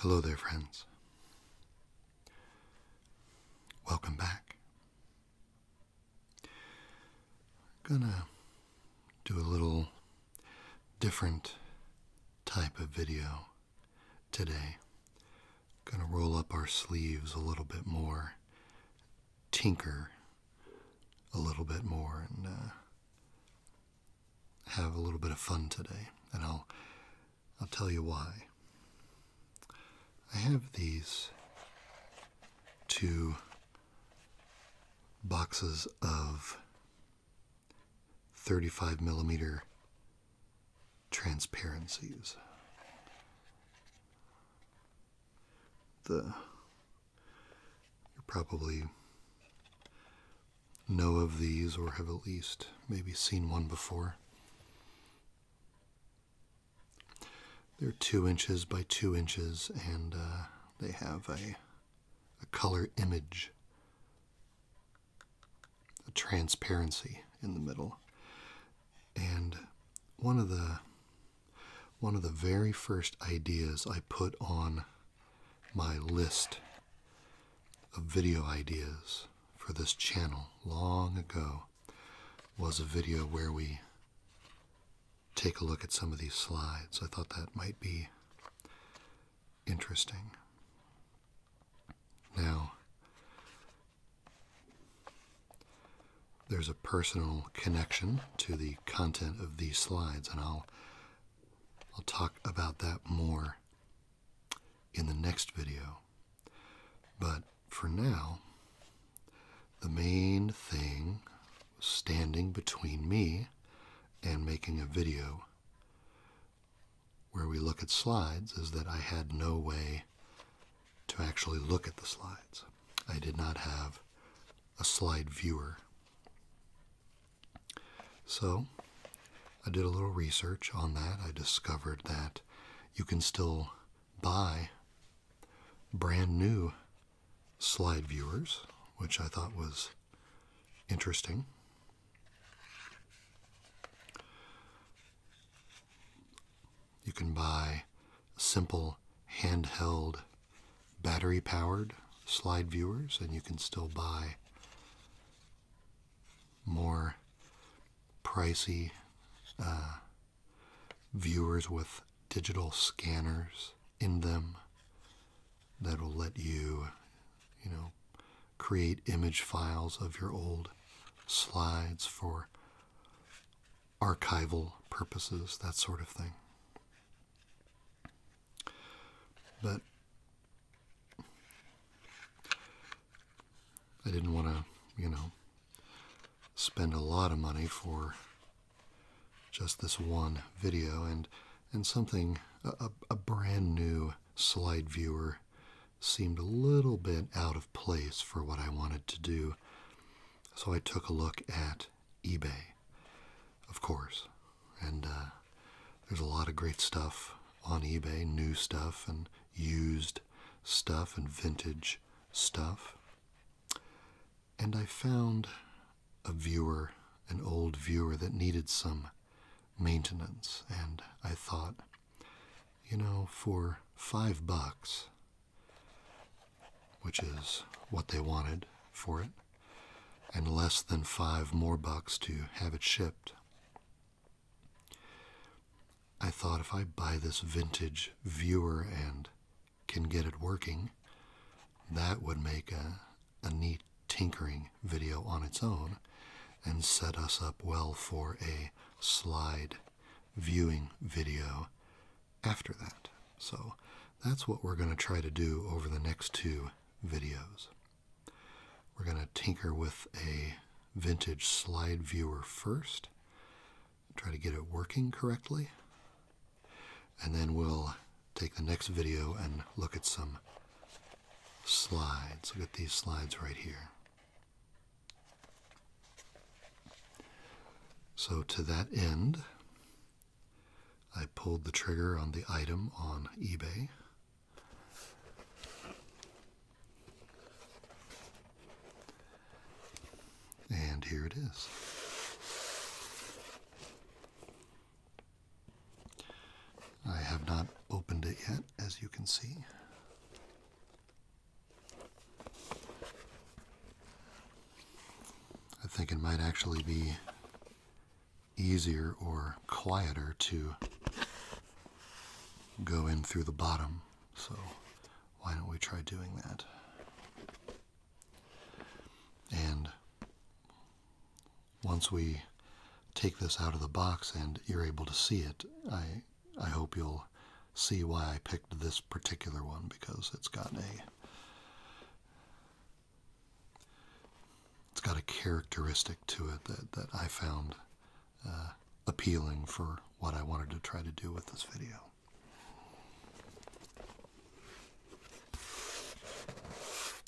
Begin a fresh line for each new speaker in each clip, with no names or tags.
Hello there, friends. Welcome back. gonna do a little different type of video today. Gonna roll up our sleeves a little bit more, tinker a little bit more, and uh, have a little bit of fun today. And I'll I'll tell you why. I have these two boxes of 35 millimeter transparencies. The you probably know of these or have at least maybe seen one before. They're two inches by two inches and uh, they have a a color image, a transparency in the middle. And one of the one of the very first ideas I put on my list of video ideas for this channel long ago was a video where we take a look at some of these slides. I thought that might be interesting. Now, there's a personal connection to the content of these slides, and I'll, I'll talk about that more in the next video. But for now, the main thing standing between me and making a video where we look at slides is that I had no way to actually look at the slides. I did not have a slide viewer. So I did a little research on that. I discovered that you can still buy brand new slide viewers, which I thought was interesting. You can buy simple handheld battery powered slide viewers, and you can still buy more pricey uh, viewers with digital scanners in them that'll let you, you know, create image files of your old slides for archival purposes, that sort of thing. But I didn't want to, you know, spend a lot of money for just this one video and and something, a, a brand new slide viewer seemed a little bit out of place for what I wanted to do. So I took a look at eBay, of course. And uh, there's a lot of great stuff on eBay, new stuff and used stuff and vintage stuff. And I found a viewer, an old viewer that needed some maintenance. And I thought, you know, for five bucks, which is what they wanted for it, and less than five more bucks to have it shipped. I thought if I buy this vintage viewer and can get it working, that would make a, a neat tinkering video on its own and set us up well for a slide viewing video after that. So that's what we're going to try to do over the next two videos. We're going to tinker with a vintage slide viewer first, try to get it working correctly, and then we'll take the next video and look at some slides. Look at these slides right here. So to that end, I pulled the trigger on the item on eBay. And here it is. I have not opened it yet, as you can see. I think it might actually be easier or quieter to go in through the bottom. So why don't we try doing that? And once we take this out of the box and you're able to see it, I, I hope you'll see why I picked this particular one because it's got a it's got a characteristic to it that, that I found uh, appealing for what I wanted to try to do with this video.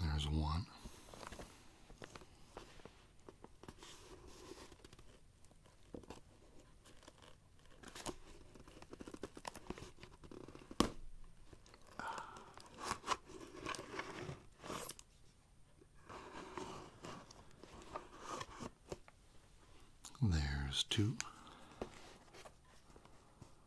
There's one. There's two.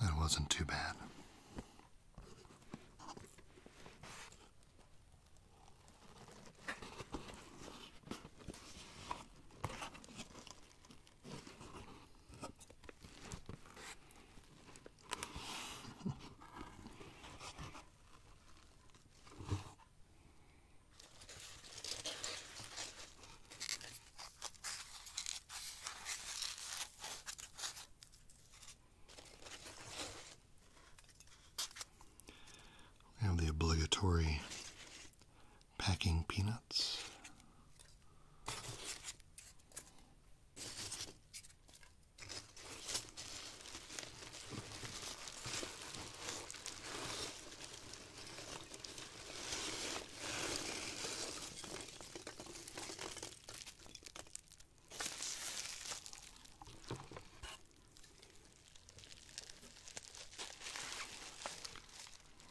That wasn't too bad. We have the obligatory packing peanuts.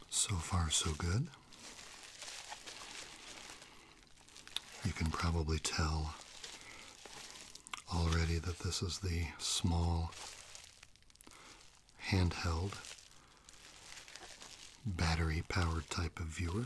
So far, so good. You can probably tell already that this is the small handheld battery powered type of viewer.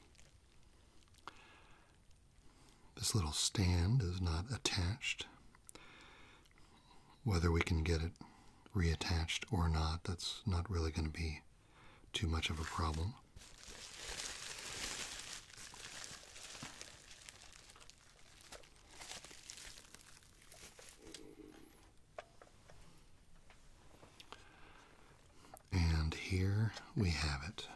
This little stand is not attached. Whether we can get it reattached or not, that's not really going to be too much of a problem. And here we have it.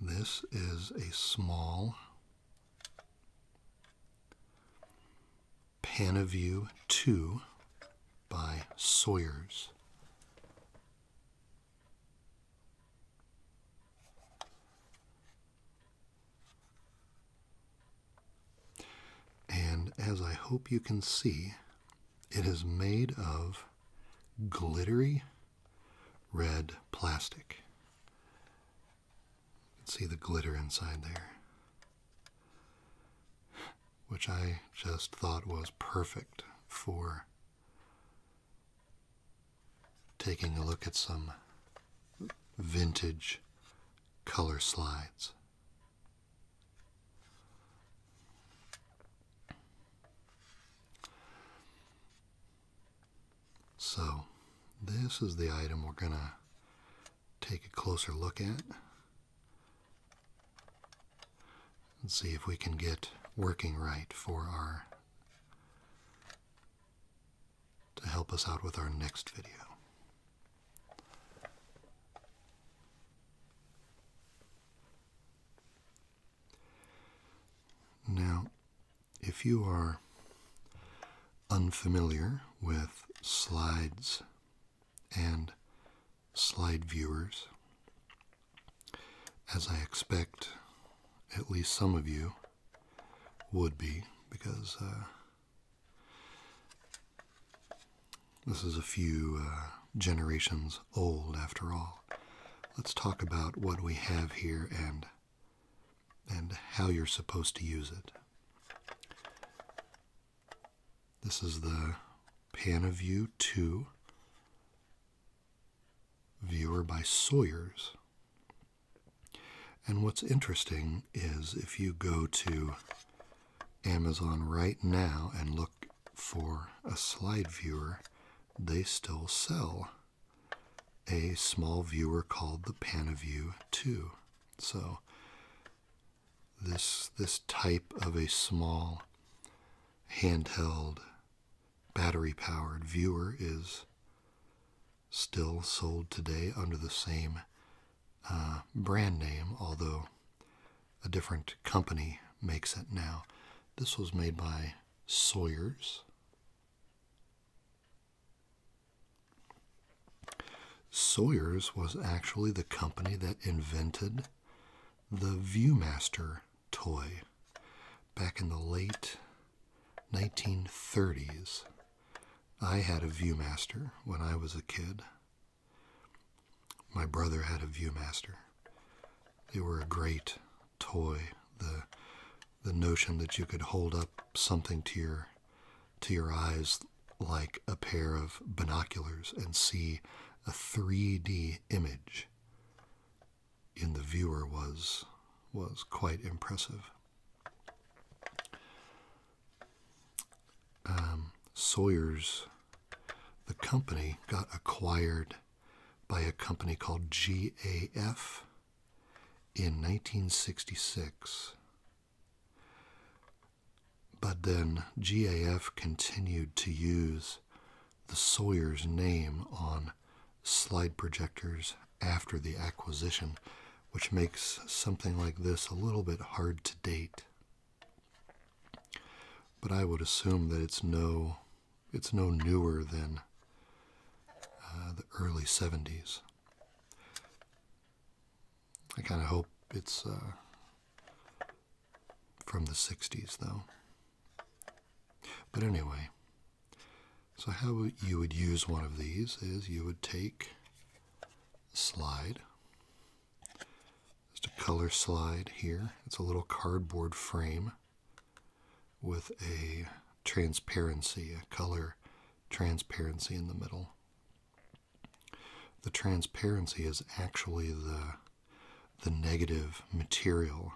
This is a small Panaview 2 by Sawyers. And as I hope you can see, it is made of glittery red plastic. You can see the glitter inside there, which I just thought was perfect for taking a look at some vintage color slides. So, this is the item we're going to take a closer look at and see if we can get working right for our to help us out with our next video. Now, if you are unfamiliar with slides and slide viewers, as I expect at least some of you would be, because uh, this is a few uh, generations old, after all. Let's talk about what we have here and and how you're supposed to use it. This is the Panaview 2 viewer by Sawyers. And what's interesting is if you go to Amazon right now and look for a slide viewer, they still sell a small viewer called the Panaview 2. So this this type of a small handheld battery powered viewer is still sold today under the same uh, brand name, although a different company makes it now. This was made by Sawyer's. Sawyer's was actually the company that invented the Viewmaster toy back in the late 1930s. I had a Viewmaster when I was a kid. My brother had a Viewmaster. They were a great toy. The the notion that you could hold up something to your to your eyes like a pair of binoculars and see a 3D image in the viewer was was quite impressive um, Sawyer's, the company, got acquired by a company called GAF in 1966. But then GAF continued to use the Sawyer's name on slide projectors after the acquisition, which makes something like this a little bit hard to date. But I would assume that it's no, it's no newer than uh, the early 70s. I kind of hope it's uh, from the 60s, though. But anyway, so how you would use one of these is you would take slide just a color slide here. It's a little cardboard frame with a transparency, a color transparency in the middle. The transparency is actually the, the negative material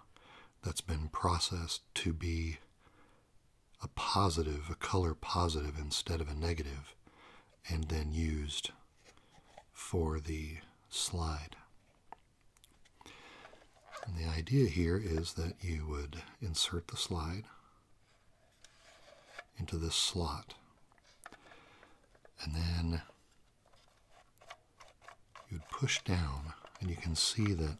that's been processed to be a positive, a color positive instead of a negative, and then used for the slide. And the idea here is that you would insert the slide into this slot. And then you'd push down, and you can see that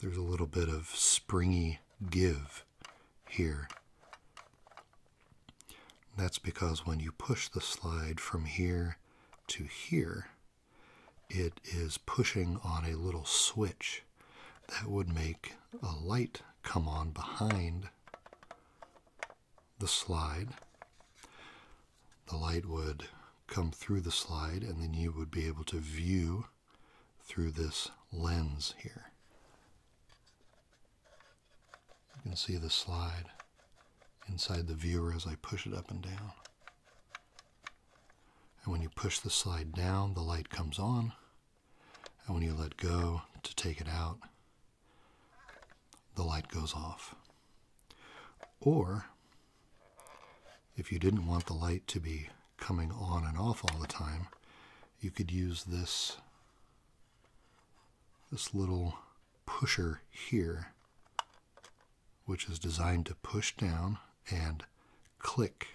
there's a little bit of springy give here. That's because when you push the slide from here to here, it is pushing on a little switch that would make a light come on behind the slide. The light would come through the slide and then you would be able to view through this lens here. You can see the slide inside the viewer as I push it up and down. And when you push the slide down, the light comes on. And when you let go to take it out, the light goes off. Or, if you didn't want the light to be coming on and off all the time, you could use this, this little pusher here, which is designed to push down and click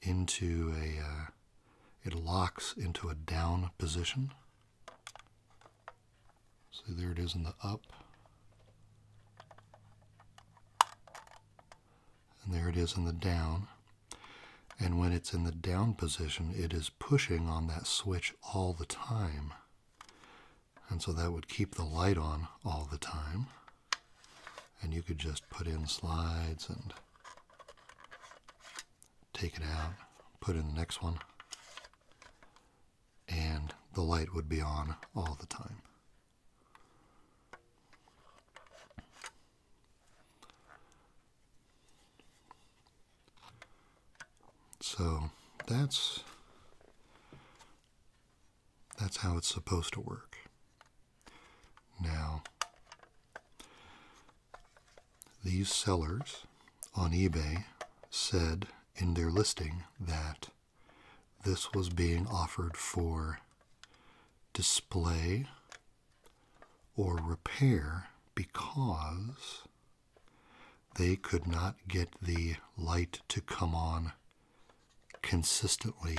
into a, uh, it locks into a down position. See there it is in the up. And there it is in the down. And when it's in the down position, it is pushing on that switch all the time. And so that would keep the light on all the time. And you could just put in slides and take it out, put in the next one, and the light would be on all the time. So that's that's how it's supposed to work. Now these sellers on eBay said in their listing that this was being offered for display or repair because they could not get the light to come on consistently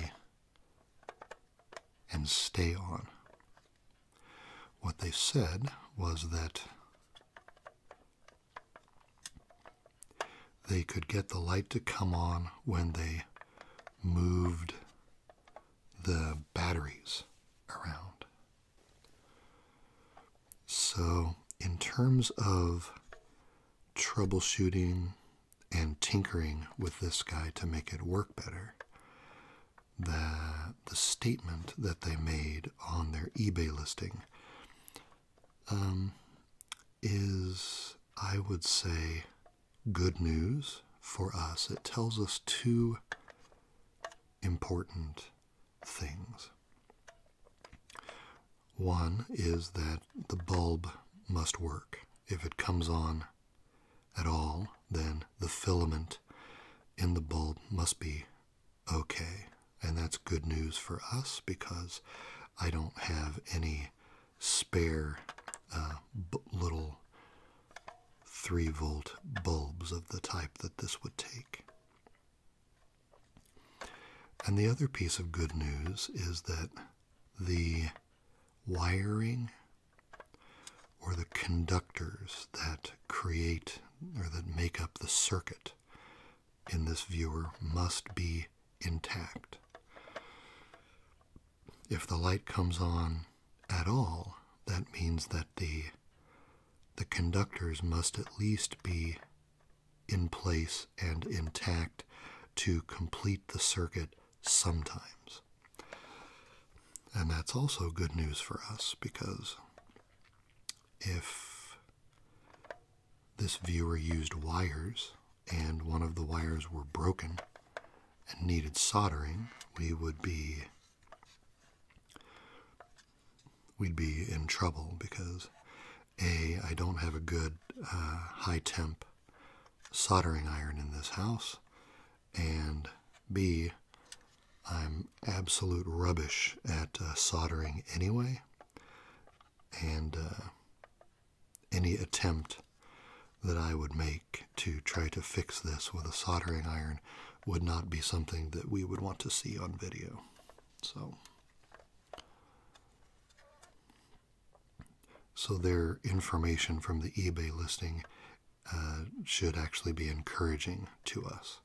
and stay on. What they said was that they could get the light to come on when they moved the batteries around. So, in terms of troubleshooting and tinkering with this guy to make it work better, the, the statement that they made on their eBay listing um, is, I would say, good news for us. It tells us two important things. One is that the bulb must work. If it comes on at all, then the filament in the bulb must be okay. And that's good news for us because I don't have any spare uh, little 3 volt bulbs of the type that this would take. And the other piece of good news is that the wiring or the conductors that create or that make up the circuit in this viewer must be intact. If the light comes on at all, that means that the the conductors must at least be in place and intact to complete the circuit sometimes. And that's also good news for us because if this viewer used wires and one of the wires were broken, and needed soldering, we would be we'd be in trouble because a I don't have a good uh, high temp soldering iron in this house, and b I'm absolute rubbish at uh, soldering anyway, and uh, any attempt that I would make to try to fix this with a soldering iron would not be something that we would want to see on video. So, so their information from the eBay listing uh, should actually be encouraging to us.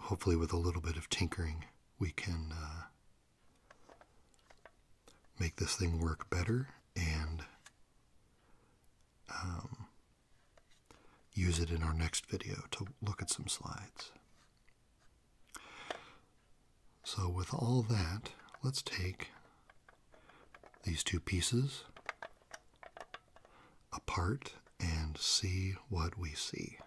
Hopefully, with a little bit of tinkering, we can uh, make this thing work better and um, use it in our next video to look at some slides. So, with all that, let's take these two pieces apart and see what we see.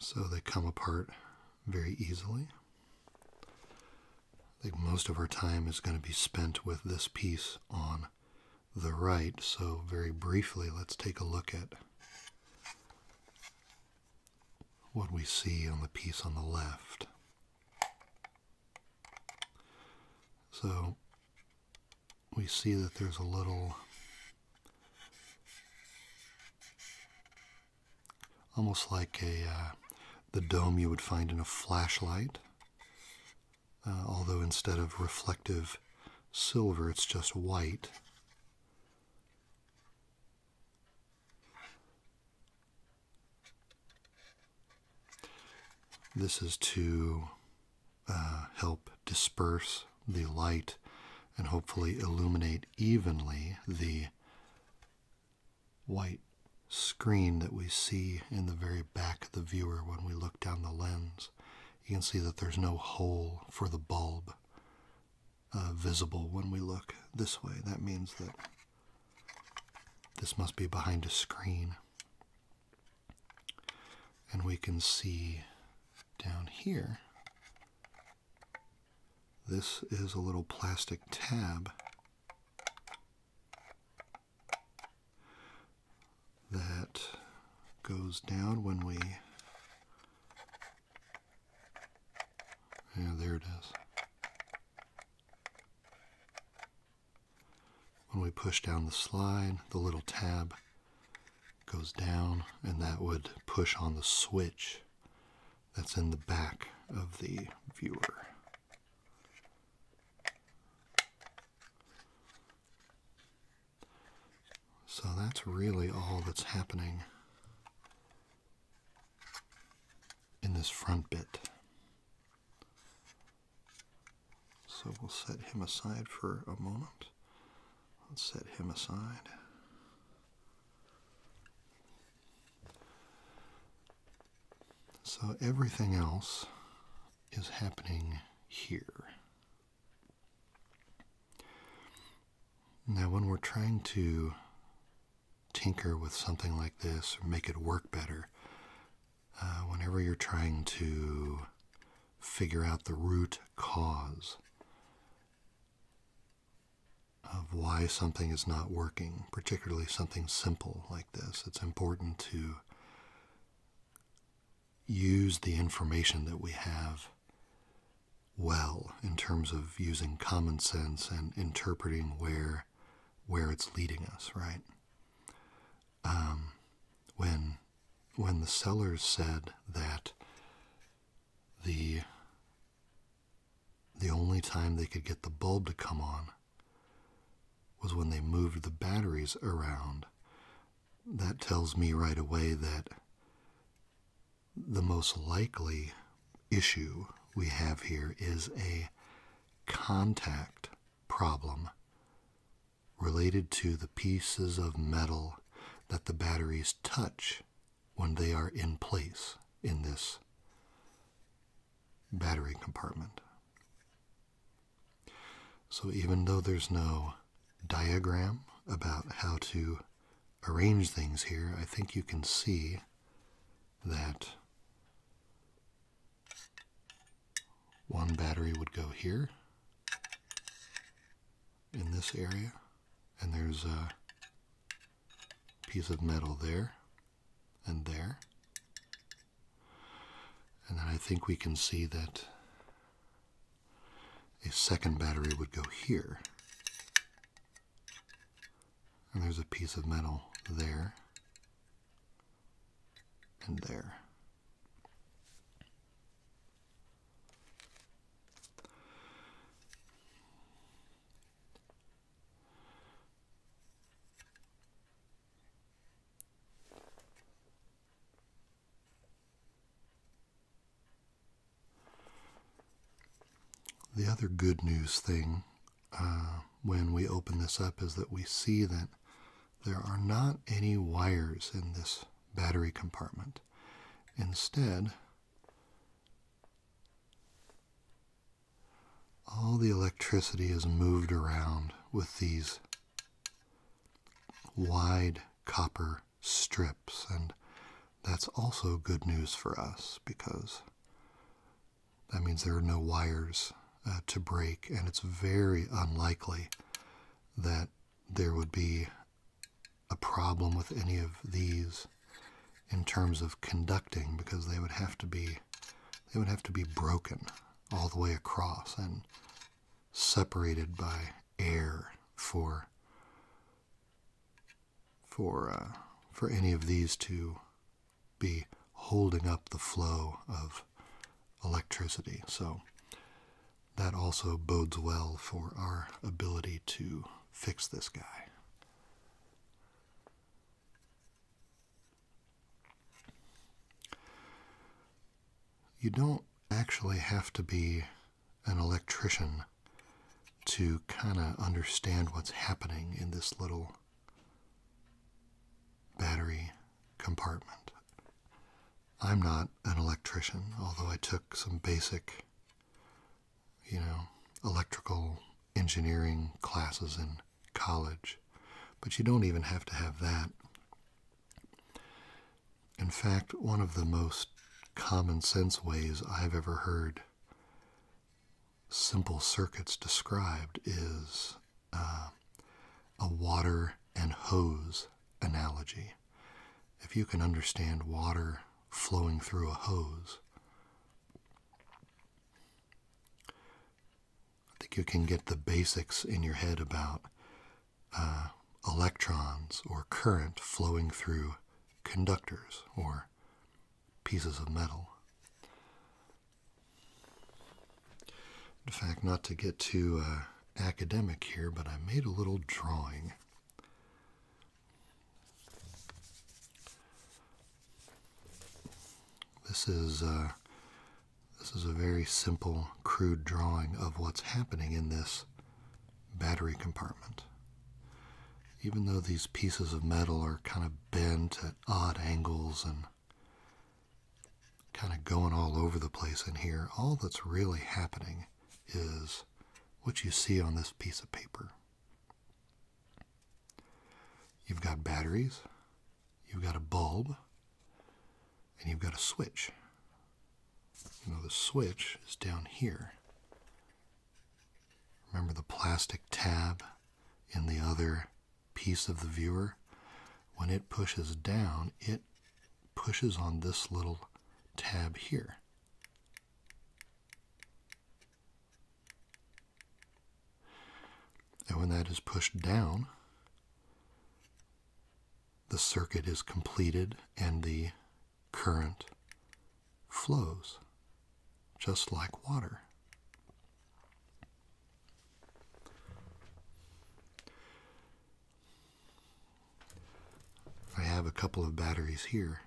So they come apart very easily. I think most of our time is going to be spent with this piece on the right. So very briefly, let's take a look at what we see on the piece on the left. So we see that there's a little almost like a uh, the dome you would find in a flashlight uh, although instead of reflective silver it's just white this is to uh, help disperse the light and hopefully illuminate evenly the white screen that we see in the very back of the viewer when we look down the lens. You can see that there's no hole for the bulb uh, visible when we look this way. That means that this must be behind a screen. And we can see down here, this is a little plastic tab that goes down when we. Yeah, there it is. When we push down the slide, the little tab goes down, and that would push on the switch that's in the back of the viewer. So that's really all that's happening in this front bit. So we'll set him aside for a moment. Let's set him aside. So everything else is happening here. Now, when we're trying to tinker with something like this or make it work better, uh, whenever you're trying to figure out the root cause of why something is not working, particularly something simple like this, it's important to use the information that we have well in terms of using common sense and interpreting where where it's leading us, right? Um, when when the sellers said that the the only time they could get the bulb to come on was when they moved the batteries around. That tells me right away that the most likely issue we have here is a contact problem related to the pieces of metal that the batteries touch when they are in place in this battery compartment. So even though there's no diagram about how to arrange things here, I think you can see that one battery would go here in this area, and there's a piece of metal there and there. And then I think we can see that a second battery would go here. And there's a piece of metal there and there. The other good news thing uh, when we open this up is that we see that there are not any wires in this battery compartment. Instead, all the electricity is moved around with these wide copper strips, and that's also good news for us because that means there are no wires uh, to break, and it's very unlikely that there would be a problem with any of these in terms of conducting because they would have to be they would have to be broken all the way across and separated by air for for uh, for any of these to be holding up the flow of electricity. So that also bodes well for our ability to fix this guy. You don't actually have to be an electrician to kind of understand what's happening in this little battery compartment. I'm not an electrician, although I took some basic, you know, electrical engineering classes in college. But you don't even have to have that. In fact, one of the most common sense ways I've ever heard simple circuits described is uh, a water and hose analogy. If you can understand water flowing through a hose, I think you can get the basics in your head about uh, electrons or current flowing through conductors or pieces of metal. In fact, not to get too. Uh, academic here, but I made a little drawing. This is uh, this is a very simple, crude drawing of what's happening in this battery compartment. Even though these pieces of metal are kind of bent at odd angles and kind of going all over the place in here, all that's really happening is what you see on this piece of paper. You've got batteries, you've got a bulb, and you've got a switch. You the switch is down here. Remember the plastic tab in the other piece of the viewer? When it pushes down, it pushes on this little tab here. And when that is pushed down, the circuit is completed and the current flows just like water. I have a couple of batteries here.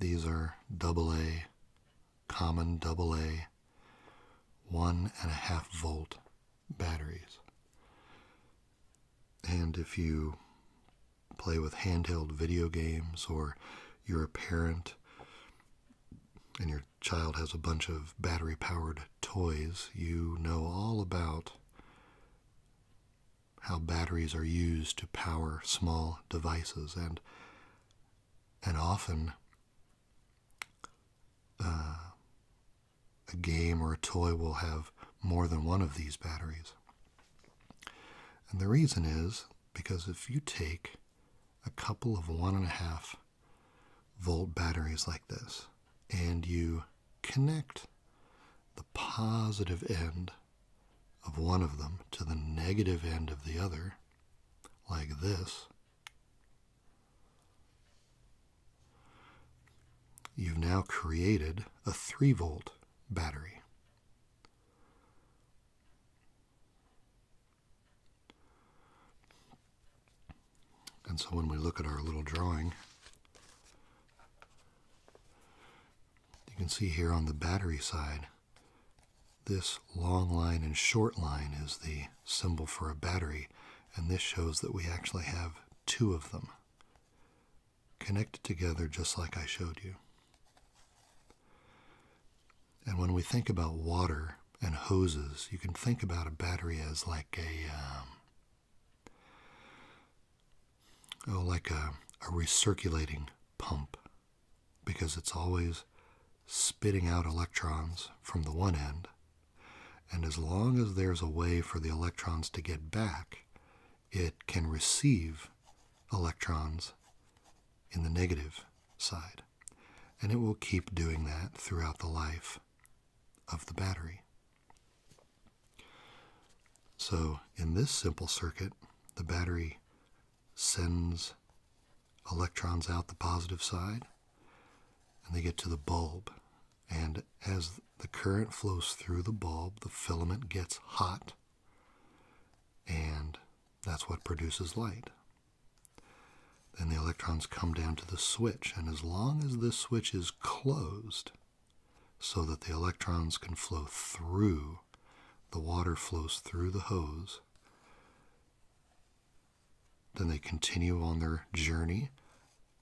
These are AA, common AA, one and a half volt batteries. And if you play with handheld video games or you're a parent and your child has a bunch of battery powered toys, you know all about how batteries are used to power small devices and and often uh, a game or a toy will have more than one of these batteries. And the reason is because if you take a couple of one and a half volt batteries like this and you connect the positive end of one of them to the negative end of the other, like this, you've now created a 3 volt battery. And so when we look at our little drawing, you can see here on the battery side, this long line and short line is the symbol for a battery, and this shows that we actually have two of them connected together just like I showed you. And when we think about water and hoses, you can think about a battery as like a um, Oh, like a, a recirculating pump, because it's always spitting out electrons from the one end. And as long as there's a way for the electrons to get back, it can receive electrons in the negative side. And it will keep doing that throughout the life of the battery. So in this simple circuit, the battery sends electrons out the positive side and they get to the bulb. And as the current flows through the bulb, the filament gets hot and that's what produces light. Then the electrons come down to the switch, and as long as this switch is closed, so that the electrons can flow through. The water flows through the hose. Then they continue on their journey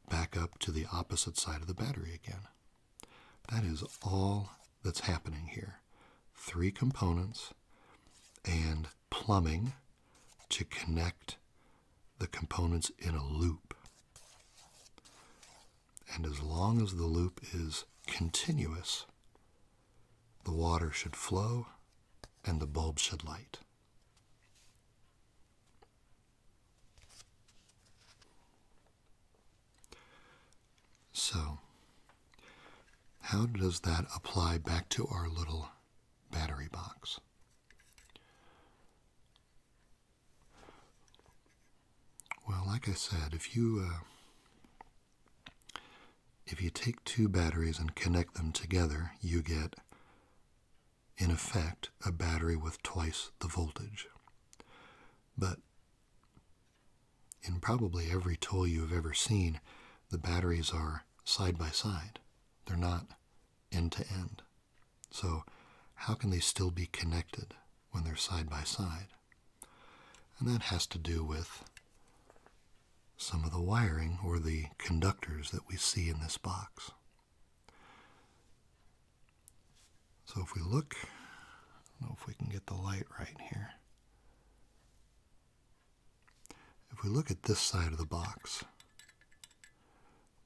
back up to the opposite side of the battery again. That is all that's happening here. Three components and plumbing to connect the components in a loop. And as long as the loop is continuous, the water should flow and the bulb should light. So, how does that apply back to our little battery box? Well, like I said, if you uh, if you take two batteries and connect them together, you get in effect a battery with twice the voltage. But in probably every tool you have ever seen, the batteries are side by side. They're not end to end. So, how can they still be connected when they're side by side? And that has to do with some of the wiring or the conductors that we see in this box. So if we look, know if we can get the light right here. If we look at this side of the box,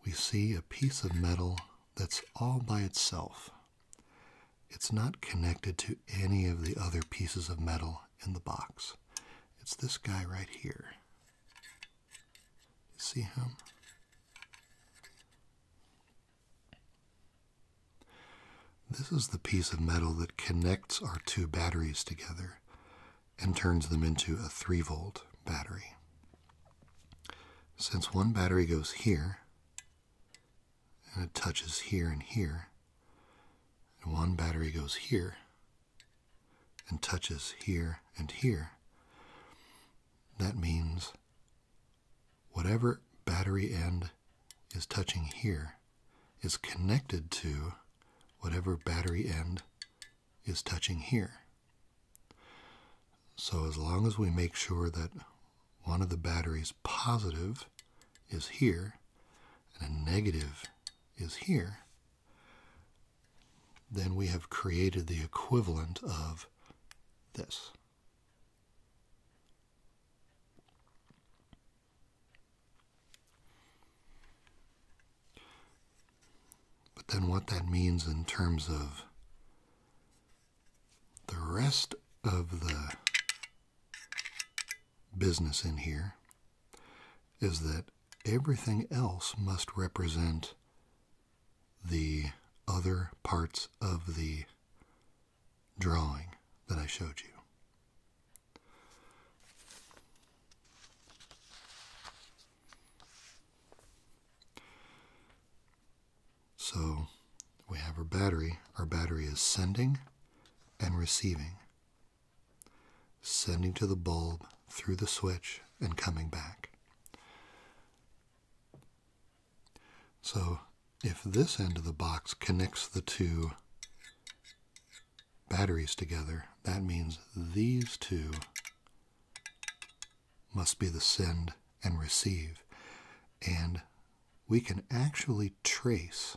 we see a piece of metal that's all by itself. It's not connected to any of the other pieces of metal in the box. It's this guy right here. You see him? This is the piece of metal that connects our two batteries together and turns them into a 3 volt battery. Since one battery goes here, and it touches here and here, and one battery goes here, and touches here and here, that means whatever battery end is touching here is connected to whatever battery end is touching here. So as long as we make sure that one of the batteries positive is here and a negative is here, then we have created the equivalent of this. But then what that means in terms of the rest of the business in here is that everything else must represent the other parts of the drawing that I showed you. So we have our battery. Our battery is sending and receiving, sending to the bulb through the switch and coming back. So if this end of the box connects the two batteries together, that means these two must be the send and receive. And we can actually trace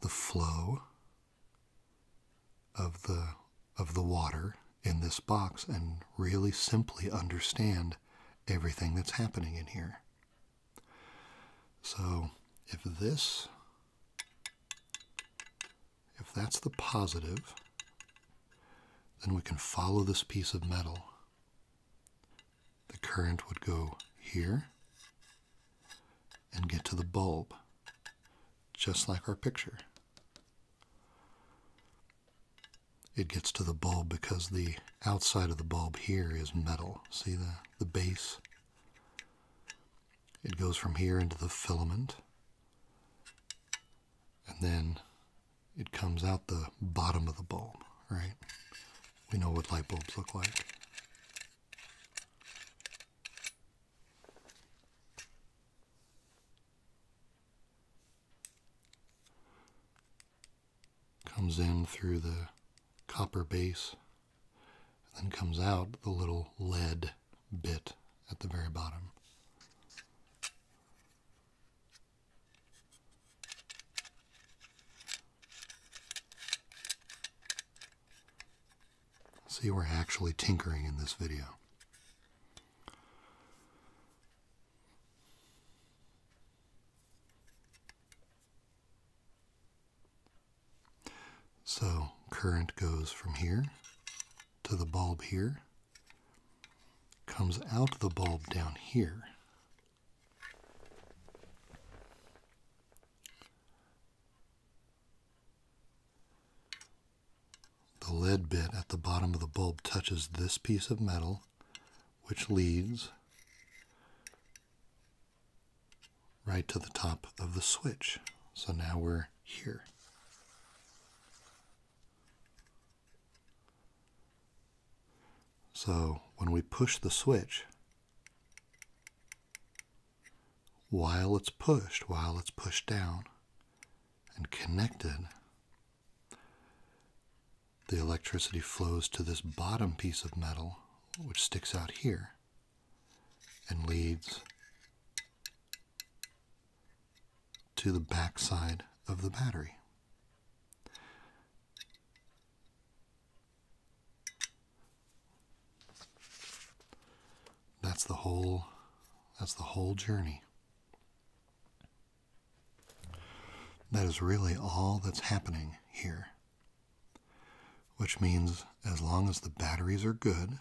the flow of the of the water in this box and really simply understand everything that's happening in here. So if this if that's the positive then we can follow this piece of metal. The current would go here and get to the bulb, just like our picture. It gets to the bulb because the outside of the bulb here is metal. See the, the base? It goes from here into the filament and then it comes out the bottom of the bulb, right? We know what light bulbs look like. Comes in through the copper base, then comes out the little lead bit at the very bottom. See, we're actually tinkering in this video. So current goes from here to the bulb here comes out the bulb down here. The lead bit at the bottom of the bulb touches this piece of metal, which leads right to the top of the switch. So now we're here. So when we push the switch, while it's pushed, while it's pushed down and connected, the electricity flows to this bottom piece of metal, which sticks out here and leads to the backside of the battery. That's the whole that's the whole journey. That is really all that's happening here. Which means as long as the batteries are good,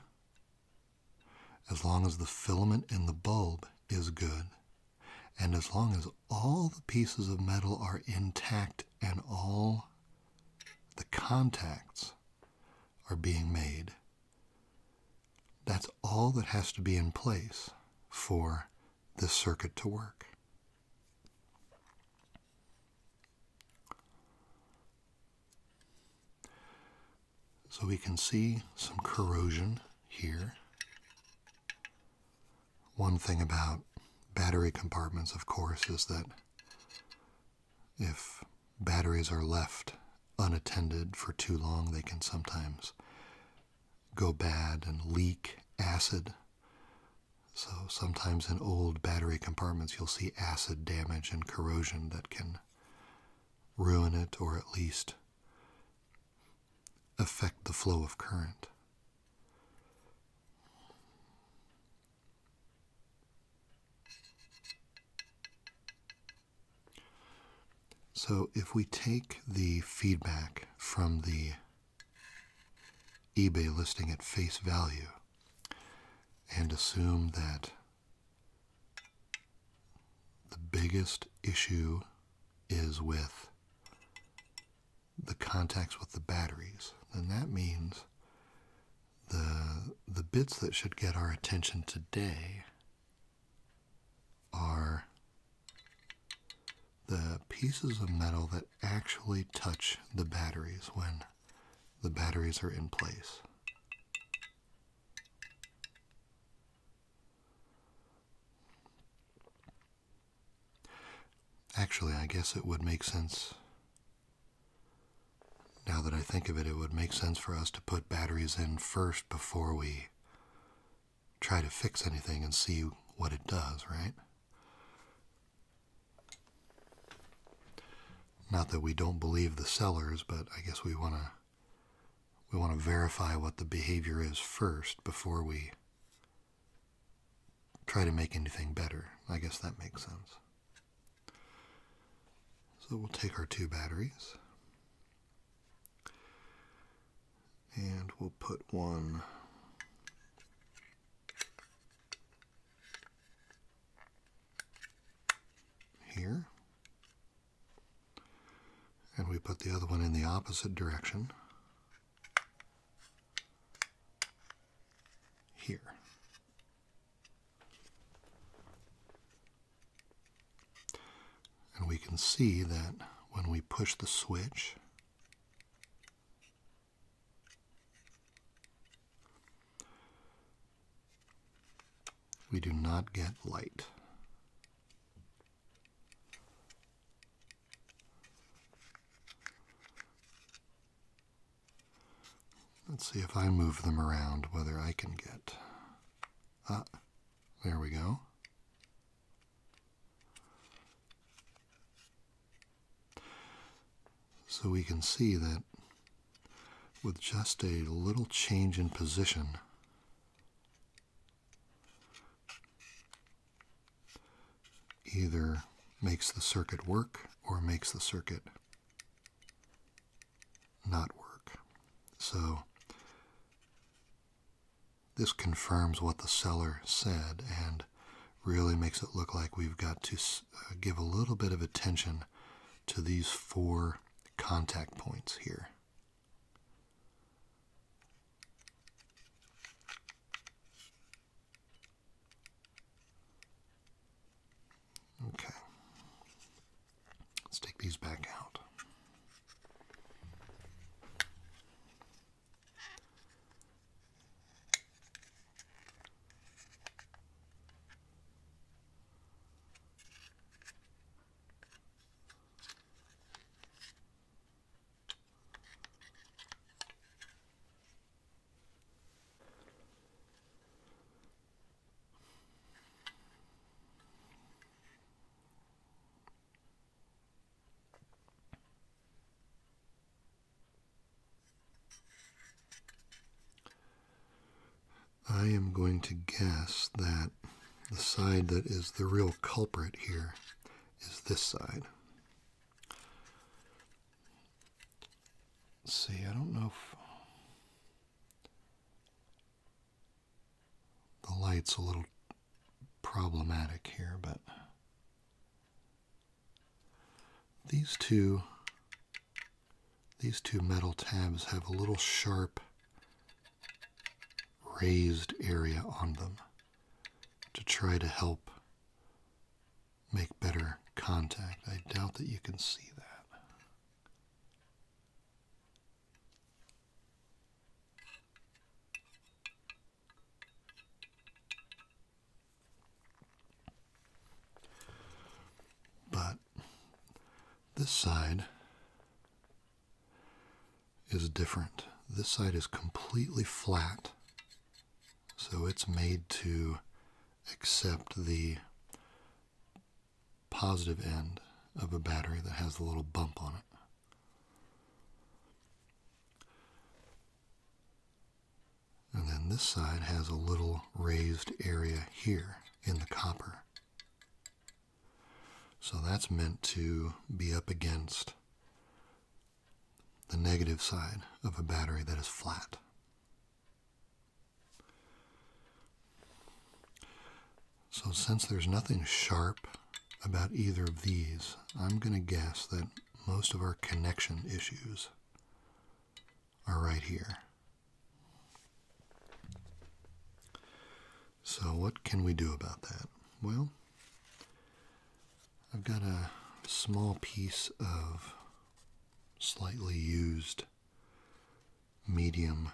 as long as the filament in the bulb is good, and as long as all the pieces of metal are intact and all the contacts are being made, that's all that has to be in place for this circuit to work. So we can see some corrosion here. One thing about battery compartments, of course, is that if batteries are left unattended for too long, they can sometimes go bad and leak acid. So sometimes in old battery compartments, you'll see acid damage and corrosion that can ruin it or at least affect the flow of current. So if we take the feedback from the eBay listing at face value and assume that the biggest issue is with the contacts with the batteries, then that means the, the bits that should get our attention today are the pieces of metal that actually touch the batteries when the batteries are in place. Actually, I guess it would make sense. Now that I think of it, it would make sense for us to put batteries in first before we try to fix anything and see what it does, right? Not that we don't believe the sellers, but I guess we want to we want to verify what the behavior is first before we try to make anything better. I guess that makes sense. So we'll take our two batteries and we'll put one here and we put the other one in the opposite direction here. And we can see that when we push the switch, we do not get light. Let's see if I move them around whether I can get. Ah, there we go. So we can see that with just a little change in position, either makes the circuit work or makes the circuit not work. So this confirms what the seller said and really makes it look like we've got to uh, give a little bit of attention to these four contact points here. Okay. Let's take these back out. I am going to guess that the side that is the real culprit here is this side. see, I don't know if the light's a little problematic here, but these two these two metal tabs have a little sharp raised area on them to try to help make better contact. I doubt that you can see that. But this side is different. This side is completely flat, so it's made to accept the positive end of a battery that has a little bump on it. And then this side has a little raised area here in the copper. So that's meant to be up against the negative side of a battery that is flat. So since there's nothing sharp about either of these, I'm going to guess that most of our connection issues are right here. So, what can we do about that? Well, I've got a small piece of slightly used medium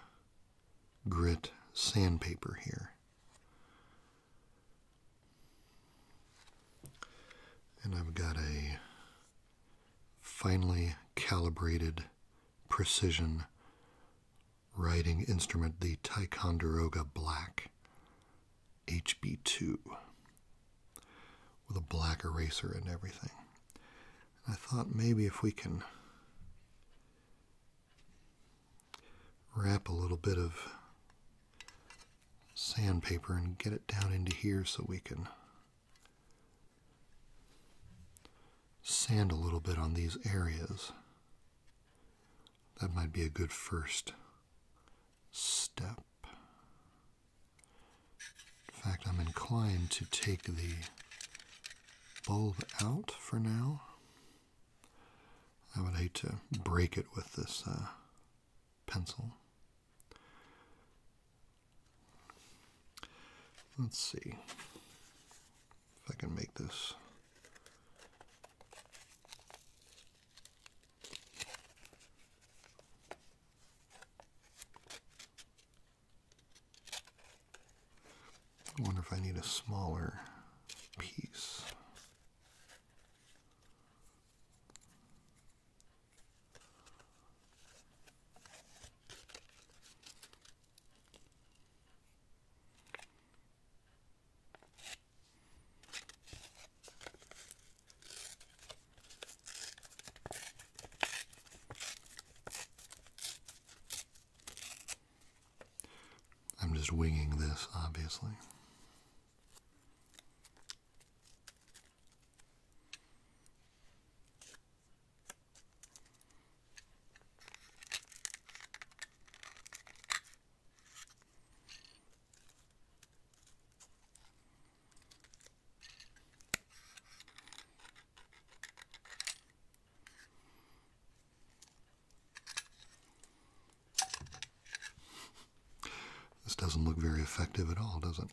grit sandpaper here. And I've got a finely calibrated precision writing instrument, the Ticonderoga Black HB2, with a black eraser and everything. I thought maybe if we can wrap a little bit of sandpaper and get it down into here so we can sand a little bit on these areas that might be a good first step. In fact, I'm inclined to take the bulb out for now. I would hate to break it with this uh, pencil. Let's see if I can make this. I wonder if I need a smaller piece. I'm just winging this, obviously. This doesn't look very effective at all, does it?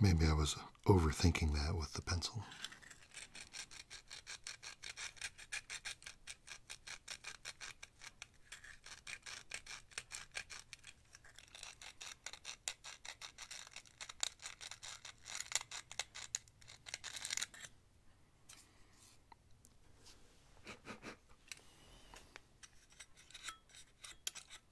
Maybe I was overthinking that with the pencil.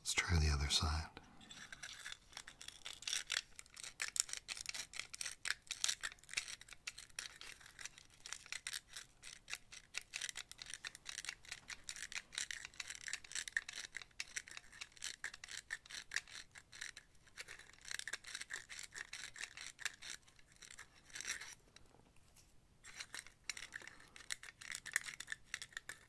Let's try the other side.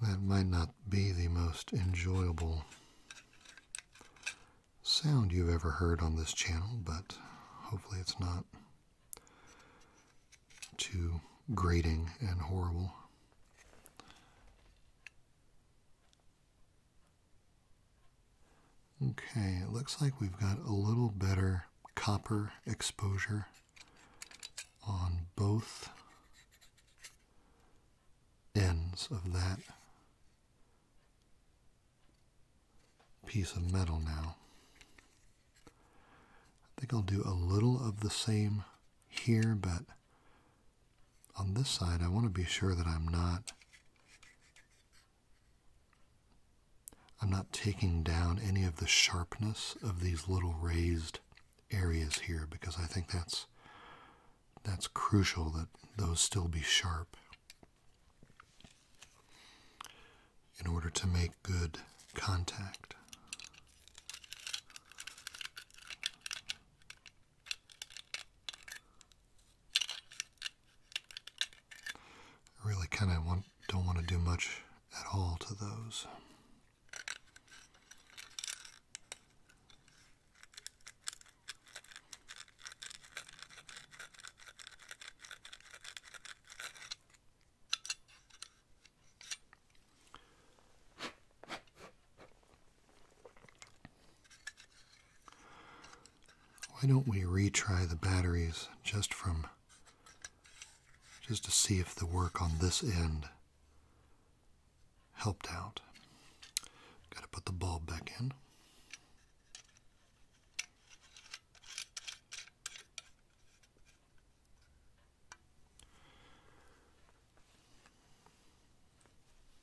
That might not be the most enjoyable sound you've ever heard on this channel, but hopefully it's not too grating and horrible. Okay, it looks like we've got a little better copper exposure on both ends of that piece of metal now. I think I'll do a little of the same here, but on this side, I want to be sure that I'm not I'm not taking down any of the sharpness of these little raised areas here because I think that's that's crucial that those still be sharp in order to make good contact. I really kind of want don't want to do much at all to those. Why don't we retry the batteries just from just to see if the work on this end helped out. Got to put the bulb back in.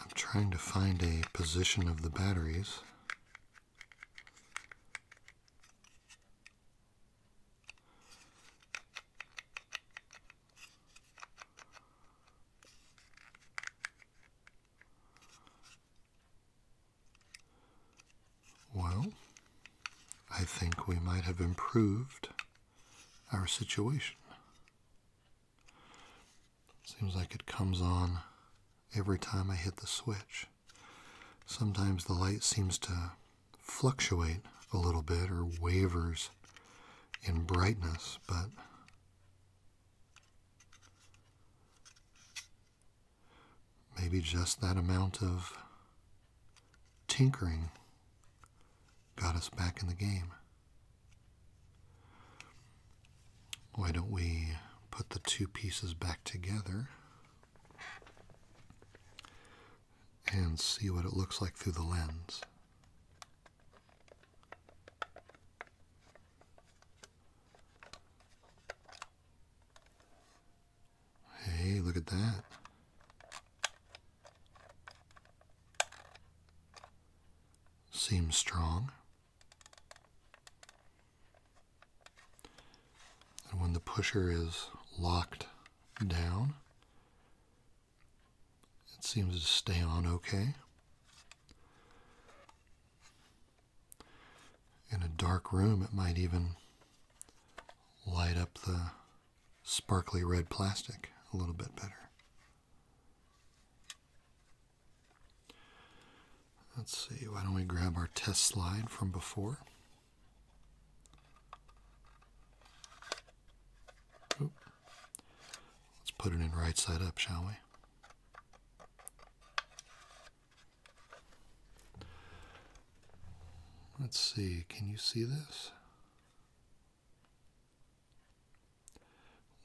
I'm trying to find a position of the batteries. Well, I think we might have improved our situation. Seems like it comes on every time I hit the switch. Sometimes the light seems to fluctuate a little bit or wavers in brightness, but maybe just that amount of tinkering got us back in the game. Why don't we put the two pieces back together and see what it looks like through the lens. Hey, look at that. Seems strong. And when the pusher is locked down, it seems to stay on okay. In a dark room, it might even light up the sparkly red plastic a little bit better. Let's see, why don't we grab our test slide from before? Let's put it in right side up, shall we? Let's see, can you see this?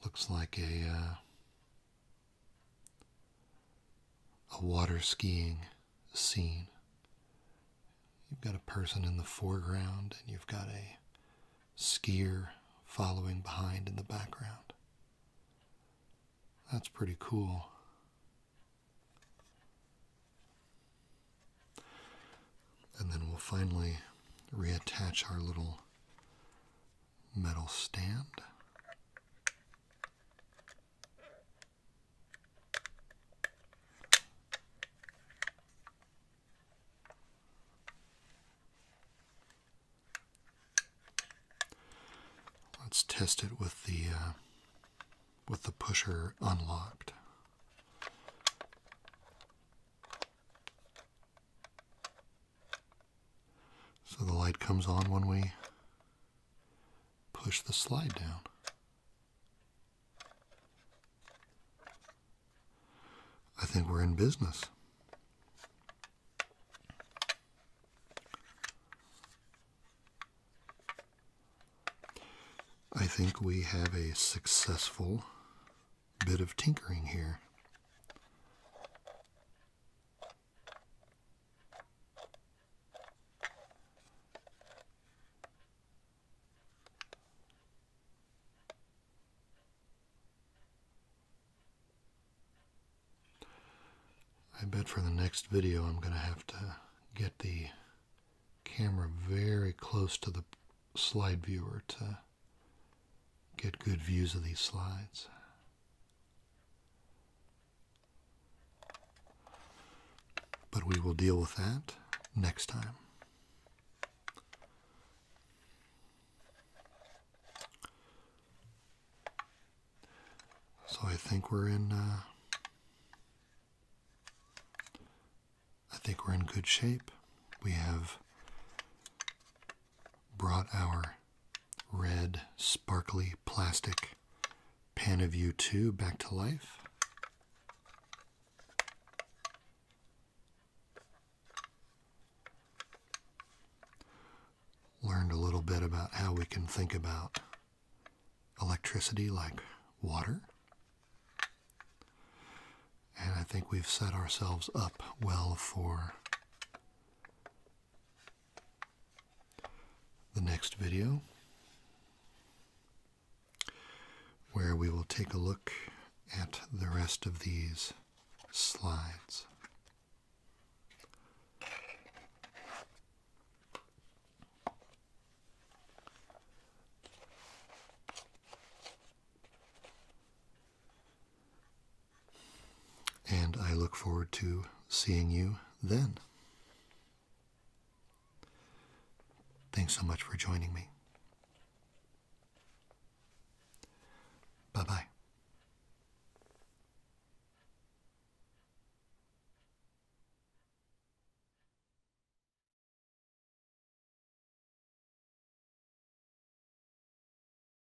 Looks like a uh, a water skiing scene. You've got a person in the foreground, and you've got a skier following behind in the background. That's pretty cool. And then we'll finally reattach our little metal stand. Let's test it with the uh, with the pusher unlocked. So the light comes on when we push the slide down. I think we're in business. I think we have a successful bit of tinkering here. I bet for the next video I'm going to have to get the camera very close to the slide viewer to get good views of these slides. But we will deal with that next time. So I think we're in. Uh, I think we're in good shape. We have brought our red sparkly plastic Panaview 2 back to life. Learned a little bit about how we can think about electricity like water. And I think we've set ourselves up well for the next video where we will take a look at the rest of these slides. And I look forward to seeing you then. Thanks so much for joining me. Bye bye.